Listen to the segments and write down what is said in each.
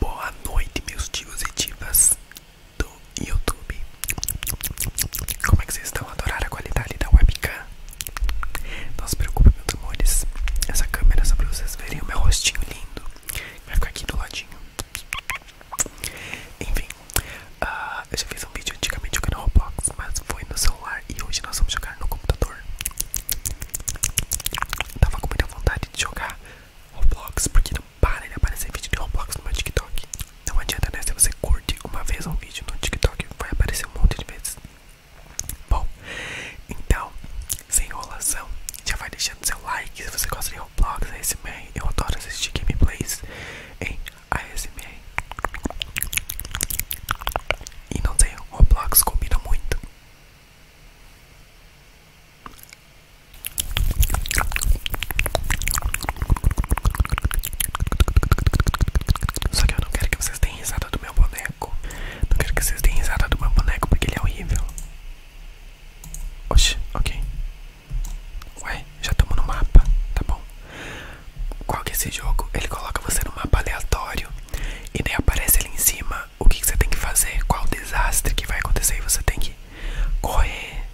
Boa noite, meus tios e divas do YouTube. Como é que vocês estão? Adoraram a qualidade da webcam? Não se preocupem, meus amores. Essa câmera é só pra vocês verem o meu rostinho lindo. Vai ficar aqui do ladinho. Enfim, ah, eu já fiz um vídeo antigamente no canal Roblox, mas foi no celular e hoje nós vamos jogar no computador. Tava com muita vontade de jogar Roblox, porque não para de aparecer vídeo de Roblox no meu TikTok. Não adianta, né? Se você curte uma vez um vídeo no TikTok, vai aparecer um monte de vezes. Bom, então, sem enrolação, já vai deixando seu like se você gosta de Roblox, ASMR. Eu adoro assistir gameplays em ASMR. E não tem Roblox combina muito. Só que eu não quero que vocês tenham risada do meu boneco. Não quero que vocês tenham risada do meu boneco porque ele é horrível. Oxi, ok. Ué, já estamos no mapa, tá bom? Qual que é esse jogo? Ele coloca você no mapa aleatório e daí aparece ali em cima o que, você tem que fazer, qual desastre que vai acontecer e você tem que correr,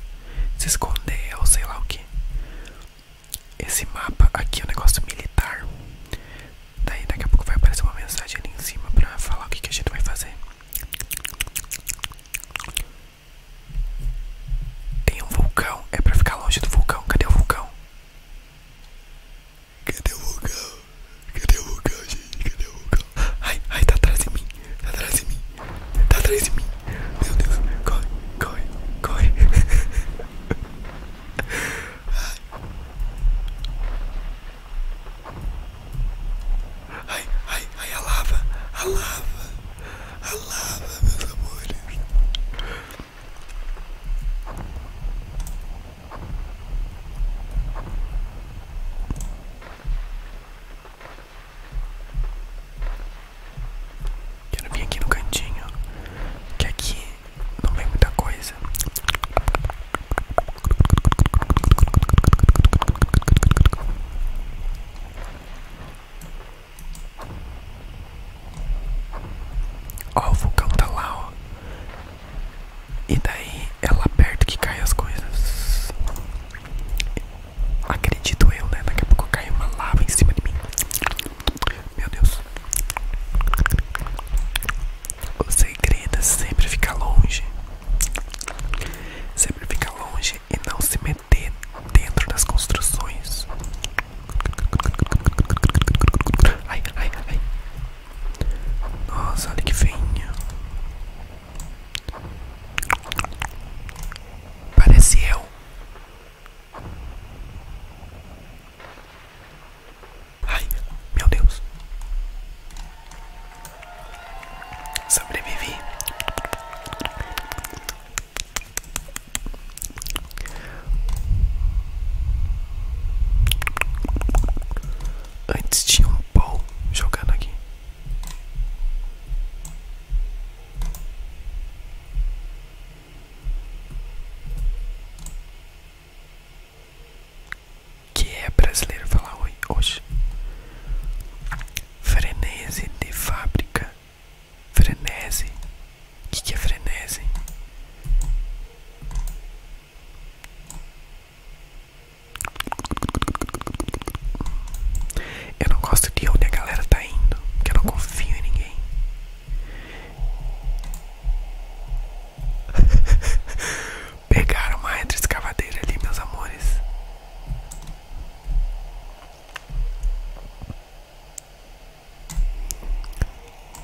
se esconder ou sei lá o que. Esse mapa aqui é um negócio militar. Daí daqui a pouco vai aparecer uma mensagem ali em cima pra falar o que, que a gente vai fazer. Tem um vulcão, é pra ficar longe do vulcão. Cadê o vulcão? Cadê o vulcão? Cadê o Lucão, gente? Cadê o Lucão? Ai, ai, tá atrás de mim. Tá atrás de mim. Tá atrás de mim. Meu Deus, corre, corre, corre. Ai, ai, ai, a lava, a lava, a lava, meus amores. Quero vir aqui no cantinho, que aqui não vem muita coisa. Ó, o vulcão tá lá, E daí ela lá que cai as coisas. Acredito eu, né? Daqui a pouco cai uma lava em cima de mim. Meu Deus. O segredo é sempre ficar longe. Sempre ficar longe e não se meter dentro das construções. Ai, ai, ai. Nossa, olha que feinho. Parece eu. Ai, meu Deus. Sobrevivi. Antes tinha um pau jogando aqui. Que é brasileiro falar oi hoje. Frenesi de fábrica. Frenesi. O que, que é frenesi? Eu não gosto de onde a galera tá indo, porque eu não confio em ninguém. Pegaram uma escavadeira, ali, meus amores.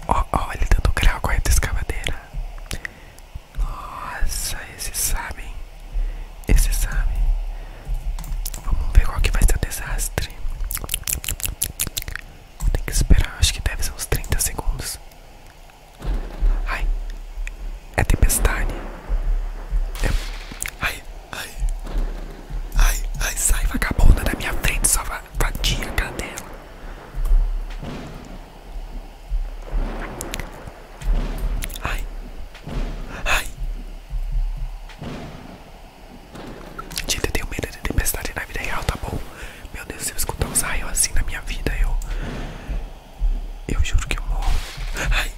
Ó, oh, oh, ele tentou criar com a retroescavadeira. Nossa, esses sabem. Esses sabem. Vamos ver qual que vai ser o desastre. Tem que esperar, acho que deve ser uns 30 segundos. Ai, é tempestade. É... Ai, ai, ai, ai, sai vagabunda da minha frente, só vadia, cadela. Ai. Ai. Gente, eu tenho medo de tempestade na vida real, tá bom? Meu Deus, se eu escutar um ai assim na minha vida, eu. Eu juro que eu morro. Ai.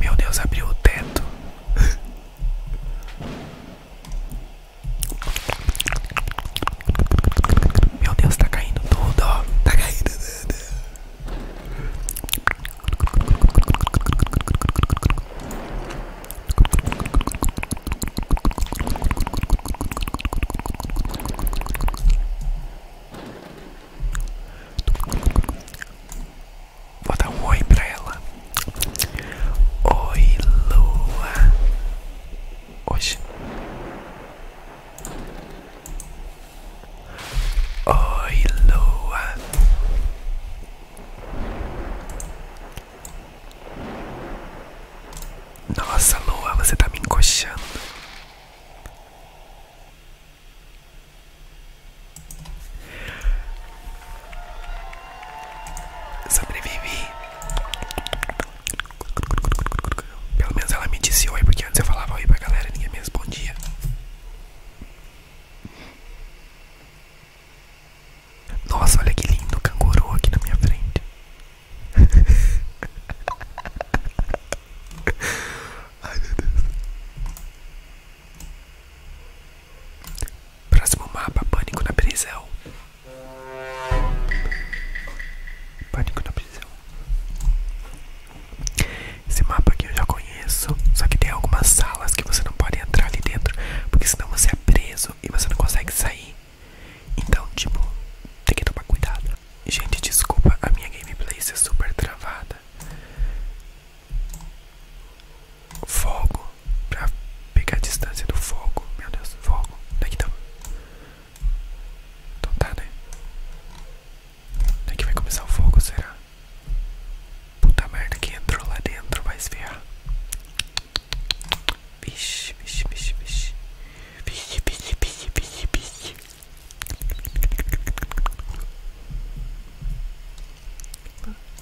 Meu Deus, abriu o teto. Meu Deus, tá caindo tudo, ó. Tá caindo tudo. Vou dar um oi pra ela. Oi, lua. Hoje. Oi, lua. Nossa, lua, você tá me encoxando. Sobrevivi. Pelo menos ela me disse oi, porque antes eu falava oi pra galera e ninguém me respondia. Nossa, olha que lindo canguru aqui na minha frente. Ai meu Deus. Próximo mapa, pânico na prisão. Pânico na prisão. Esse mapa aqui eu já conheço, só que tem algumas salas que você não pode entrar ali dentro, porque senão você é preso e você não consegue sair. Então, tipo, tem que tomar cuidado. Gente, desculpa a minha gameplay está super travada. Fogo Pra pegar a distância do fogo Meu Deus, fogo Daqui é tá Então tá, né Daqui vai começar o fogo, será? Puta merda, que entrou lá dentro vai esfriar Vixe, vixe, vixe, vixe Vixe, vixe, vixe, vixe, vixe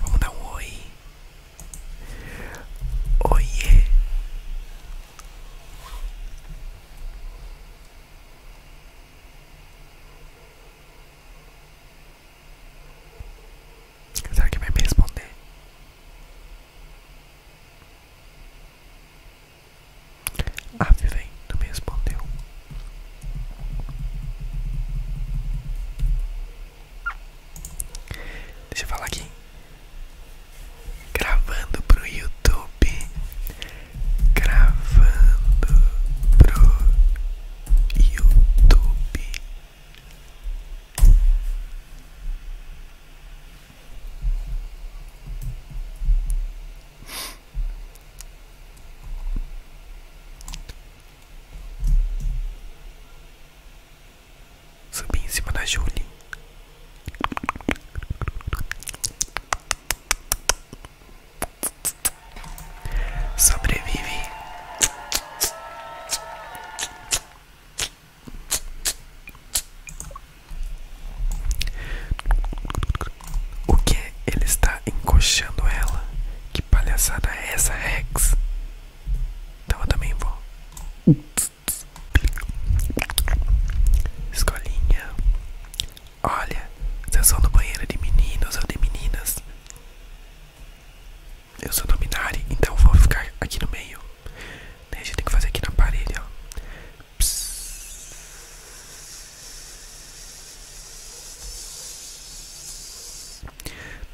Vamos dar um oi. Oiê. Será que vai me responder? Ah, vem, não me respondeu. Deixa eu falar aqui. Gravando pro YouTube. Gravando pro YouTube. Subi em cima da Julie. Sobrevive. O que ele está encoxando ela palhaçada é essa, Rex? Então eu também vou. Escolinha. Olha, vocês são do banheiro de meninos ou de meninas? Eu sou do dominari, então vou ficar aqui no meio. Né, a gente tem que fazer aqui na parede,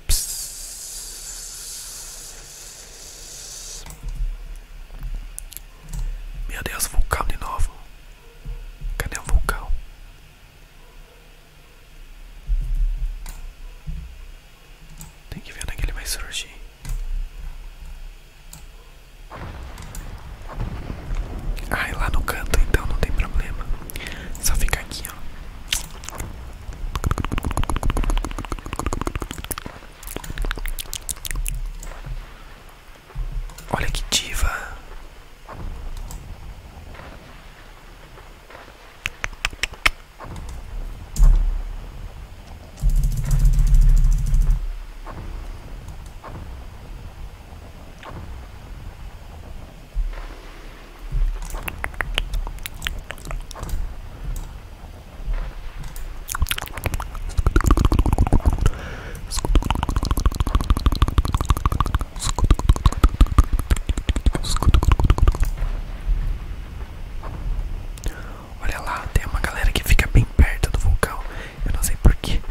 Psss. Meu Deus, vulcão de novo. Cadê o vulcão? Tem que ver onde é ele vai surgir. Ai, lá no canto então não tem problema. Só fica aqui. Olha que diva. Olha lá, tem uma galera que fica bem perto do vulcão. Eu não sei porquê.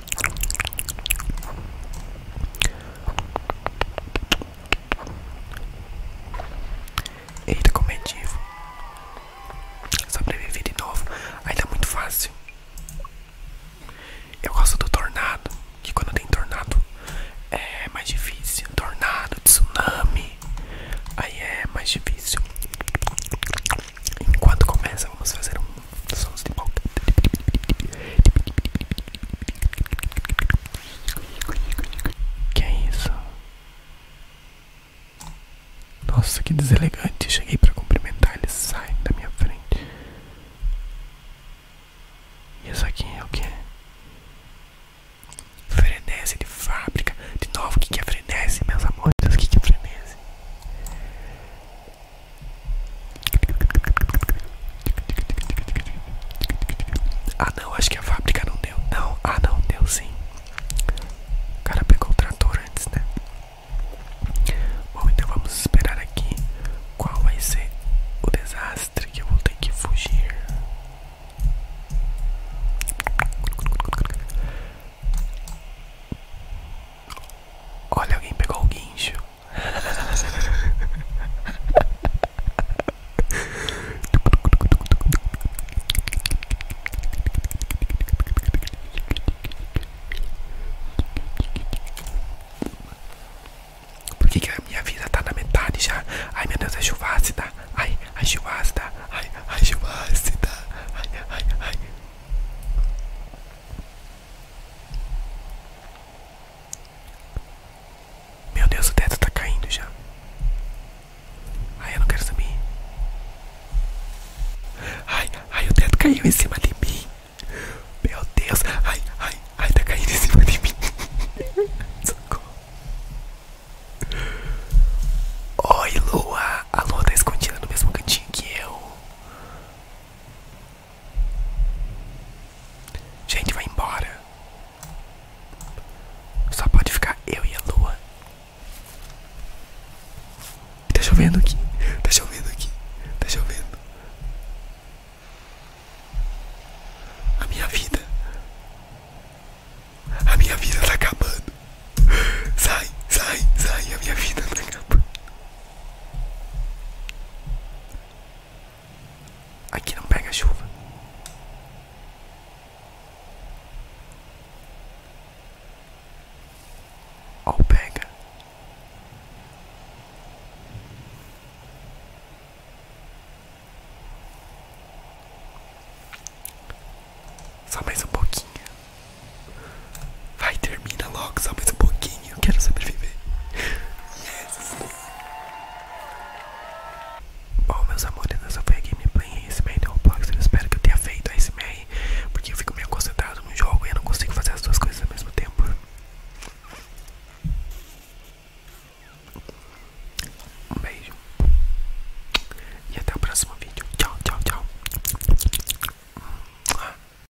Eita, comedivo. É sobreviver de novo. Ainda é muito fácil. Eu gosto do tornado. Que quando tem tornado é mais difícil. Tornado, tsunami. Aí é mais difícil. Enquanto começa, vamos fazer um sons de boca. Que é isso? Nossa, que deselegante. Cheguei pra cumprimentar, eles saem da minha frente. E isso aqui é o que? Frenese de fábrica. De novo, o que, que é frenese, meus amores? O que, que é frenese? Ah não, acho que a fábrica não deu. Não, ah não, deu sim. O cara pegou o trator antes, né? Bom, então vamos esperar aqui qual vai ser o desastre que eu vou ter que fugir. Olha, alguém pegou o guincho. Por que, a minha vida tá na metade já? Ai meu Deus, é chuva ácida. Ai, ai, chuva ácida. Ai, ai, chuva ácida. Ai, ai, ai. Meu Deus, o teto tá caindo já. Ai, eu não quero saber. Ai, ai, o teto caiu em cima de mim. Meu Deus, ai, ai, ai, tá caindo em cima de mim. Socorro. Oi, Lua. A Lua tá escondida no mesmo cantinho que eu. Gente, vai embora. Só pode ficar eu e a lua. Tá chovendo aqui. Tá chovendo aqui. Tá chovendo. A minha vida. A minha vida tá acabando. Sai, sai, sai. A minha vida tá acabando. Aqui não pega chuva. Ou pega. Só mais um pouquinho. Vai, termina logo, só mais um pouquinho. Eu quero sobreviver. Yes! Bom, meus amores, essa foi a gameplay em SMR do Roblox. Eu espero que eu tenha feito a SMR, porque eu fico meio concentrado no jogo e eu não consigo fazer as duas coisas ao mesmo tempo. Um beijo. E até o próximo vídeo. Tchau, tchau, tchau.